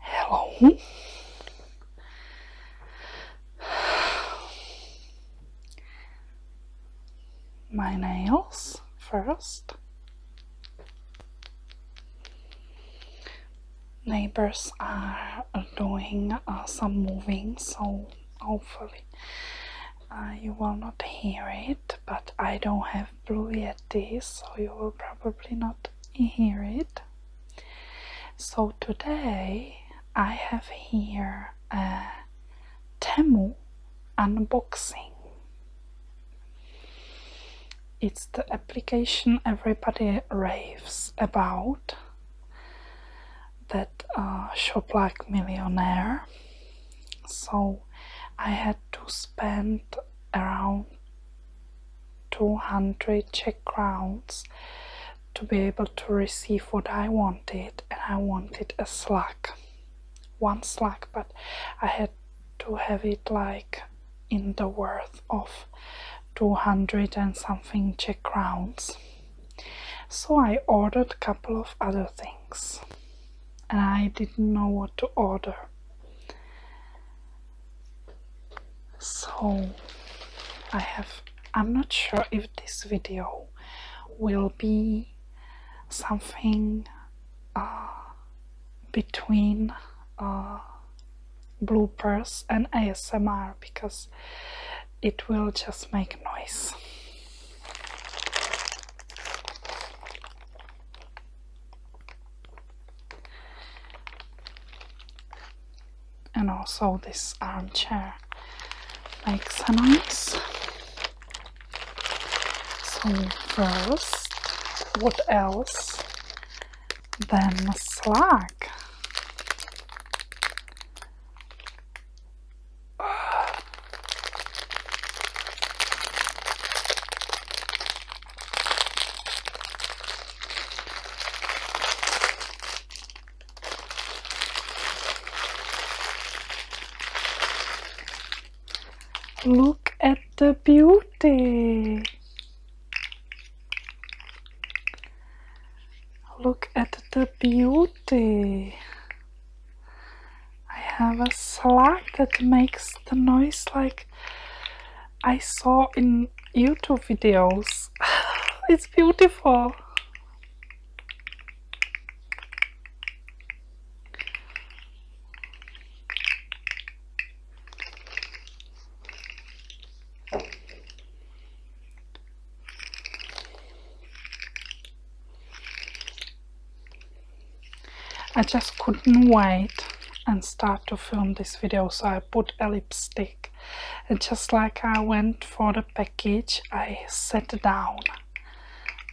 Hello. My nails first. Neighbors are doing uh, some moving, so hopefully uh, you will not hear it, but I don't have Blue Yeti, so you will probably not hear it. So today I have here a Temu unboxing. It's the application everybody raves about that uh, shop like millionaire so I had to spend around 200 Czech crowns to be able to receive what I wanted, and I wanted a slug, one slug, but I had to have it like in the worth of 200 and something Czech crowns. So I ordered a couple of other things and I didn't know what to order. So I have I'm not sure if this video will be something uh, between uh, bloopers and ASMR because it will just make noise and also this armchair makes a nice. so first what else Then than slack. Look at the beauty. Look at the beauty. I have a slug that makes the noise like I saw in YouTube videos. it's beautiful. I just couldn't wait and start to film this video so I put a lipstick and just like I went for the package I sat down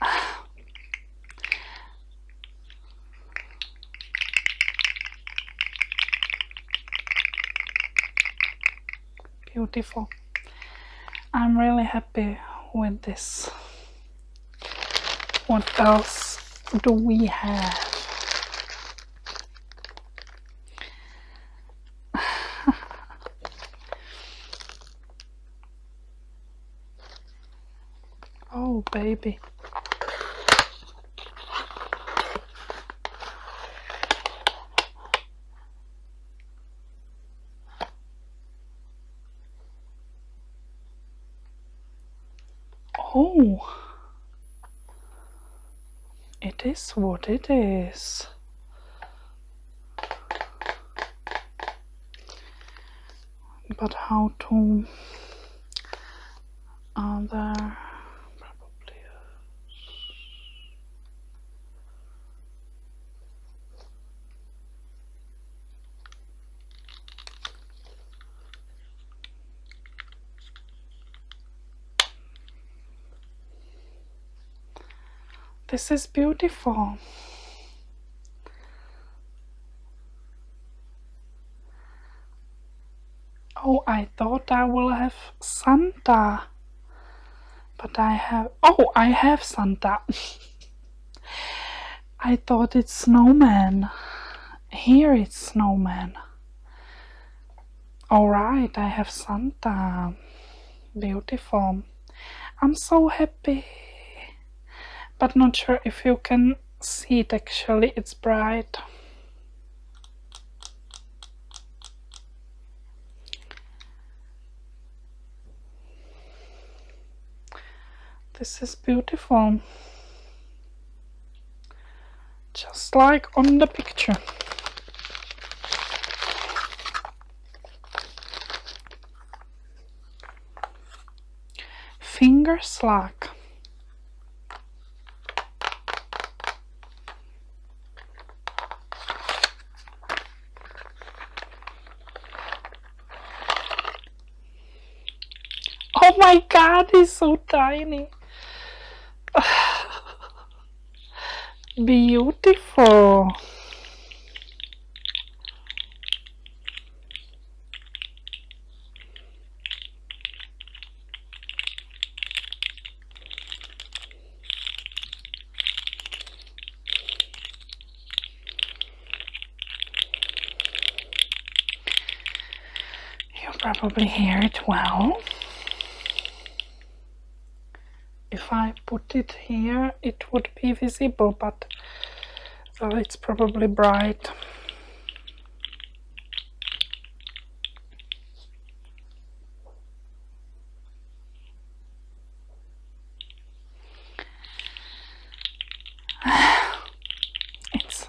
beautiful I'm really happy with this. What else do we have? oh, baby. Oh, it is what it is. But how to other probably this is beautiful. Oh, I thought I will have Santa, but I have Oh, I have Santa. I thought it's snowman. Here it's snowman. Alright, I have Santa. Beautiful. I'm so happy. But not sure if you can see it actually, it's bright. This is beautiful. Just like on the picture. Finger slack. Oh my god, he's so tiny. Beautiful. You'll probably hear it well. If I put it here, it would be visible, but uh, it's probably bright. it's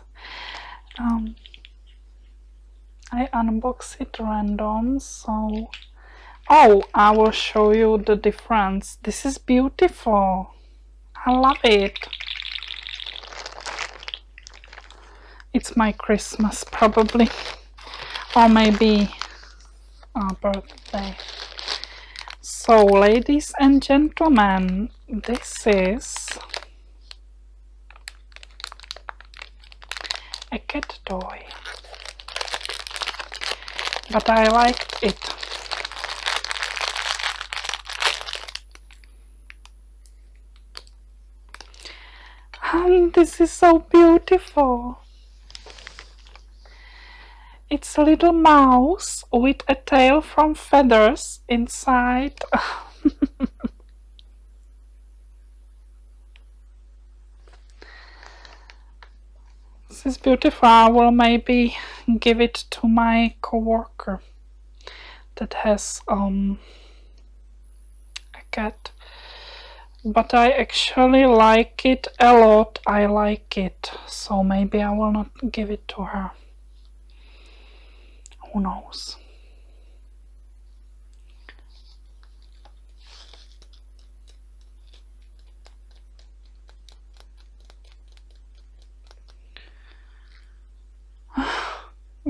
um I unbox it random so oh I will show you the difference this is beautiful I love it it's my Christmas probably or maybe uh, ah, birthday. So, ladies and gentlemen, this is a cat toy, but I like it. And this is so beautiful. It's a little mouse with a tail from feathers inside. this is beautiful. I will maybe give it to my coworker that has um, a cat but I actually like it a lot I like it so maybe I will not give it to her who knows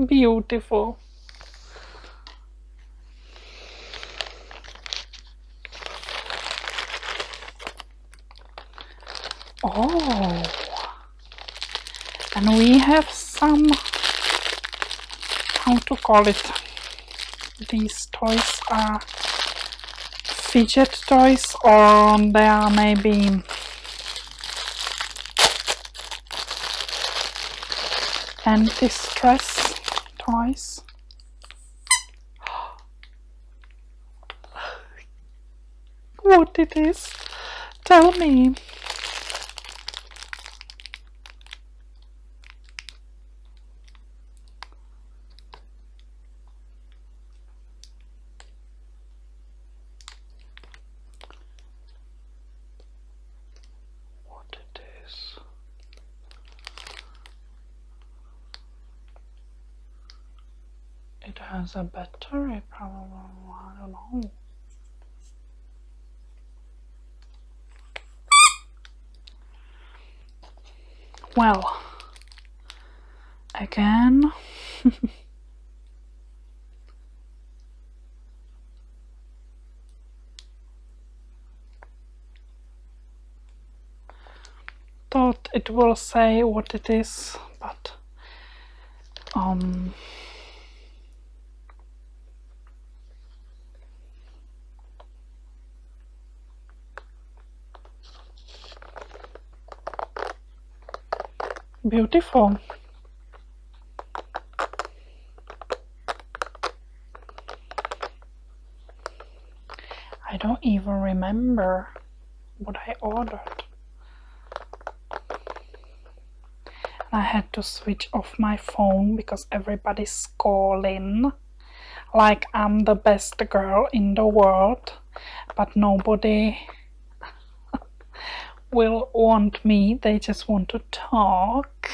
beautiful Oh, and we have some, how to call it, these toys are fidget toys or they are maybe and distress twice. what it is? Tell me what it is. It has a battery problem, I don't know. Well, again. Thought it will say what it is, but um, beautiful I don't even remember what I ordered. I had to switch off my phone because everybody's calling like I'm the best girl in the world, but nobody will want me, they just want to talk.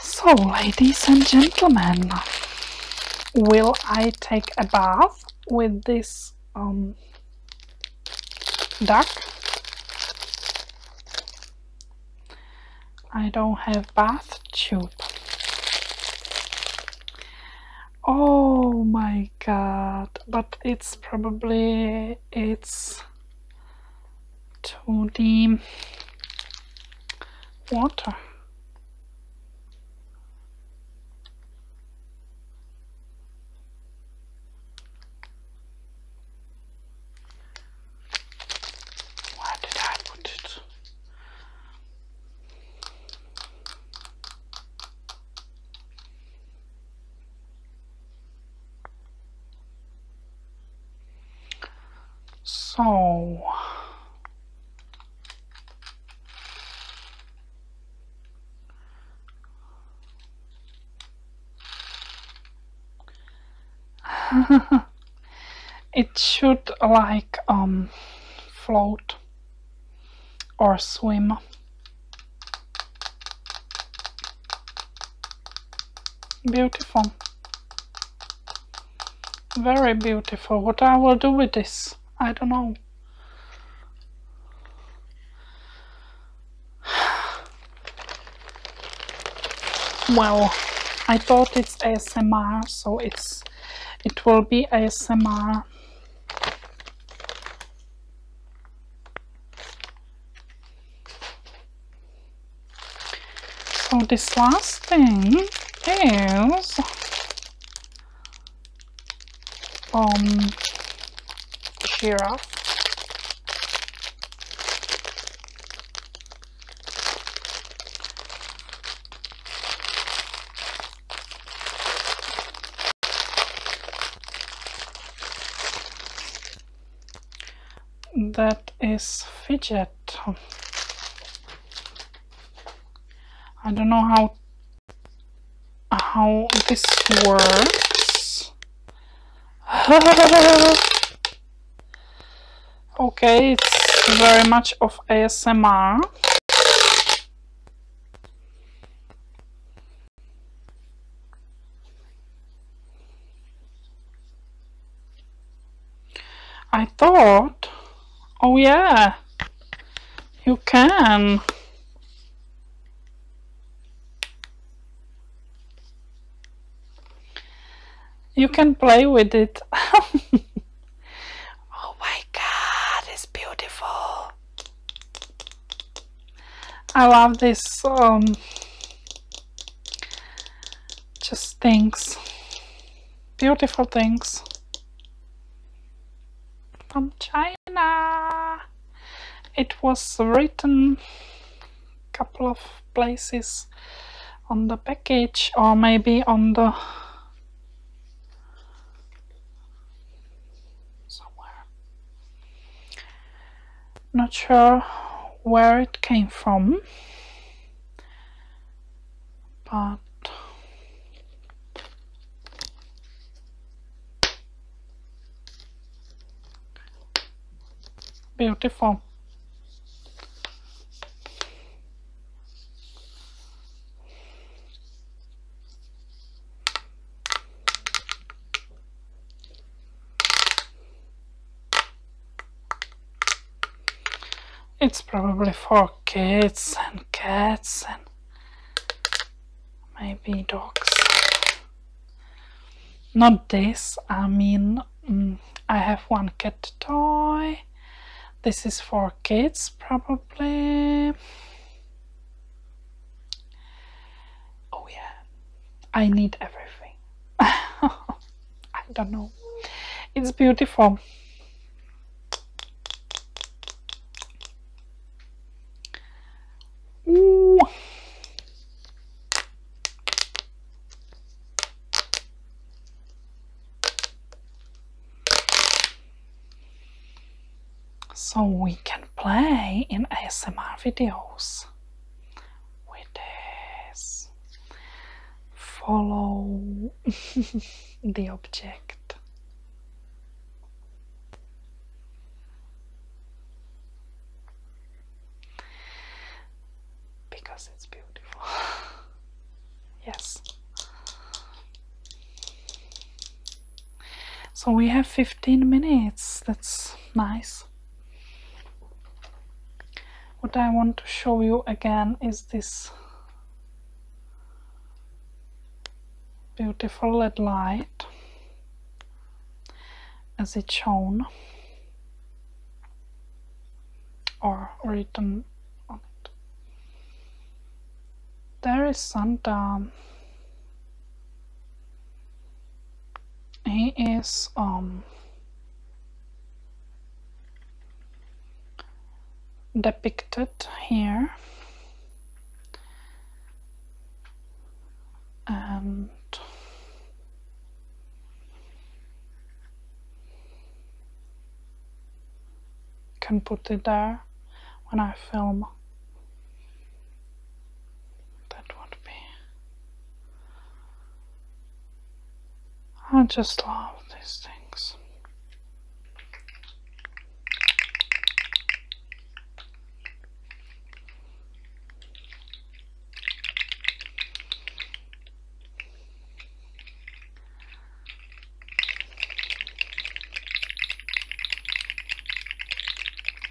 So, ladies and gentlemen, will I take a bath with this um, duck? I don't have bath tube. Oh my god, but it's probably it's 2D water. Where did I put it? So it should like um, float or swim. Beautiful. Very beautiful. What I will do with this, I don't know. Well, I thought it's ASMR, so it's it will be ASMR. So this last thing is um giraffe that is fidget I don't know how how this works Okay, it's very much of ASMR. I thought, oh yeah, you can. You can play with it. oh my god, it's beautiful. I love this um, just things. Beautiful things. From China. It was written couple of places on the package or maybe on the somewhere not sure where it came from but Beautiful. It's probably for kids and cats and maybe dogs. Not this, I mean, mm, I have one cat toy. This is for kids, probably. Oh, yeah, I need everything. I don't know, it's beautiful. So we can play in ASMR videos with this follow the object because it's beautiful. yes. So we have 15 minutes. That's nice. What I want to show you again is this beautiful LED light as it's shown or written on it. There is Santa. He is um, depicted here and can put it there when I film. That would be. I just love these things.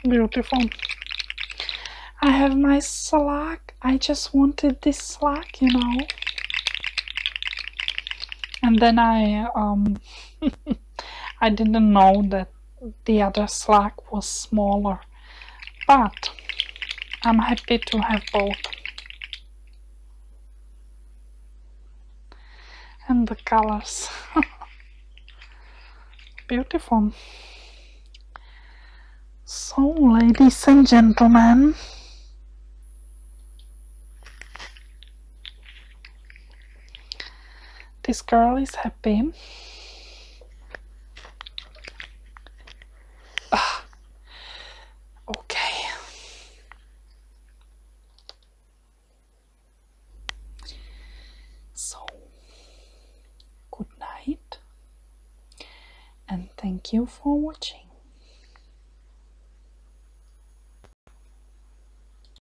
Beautiful. I have my slack. I just wanted this slack, you know. And then I um I didn't know that the other slack was smaller but I'm happy to have both and the colors beautiful so ladies and gentlemen this girl is happy. Ah. Okay. So, good night, and thank you for watching.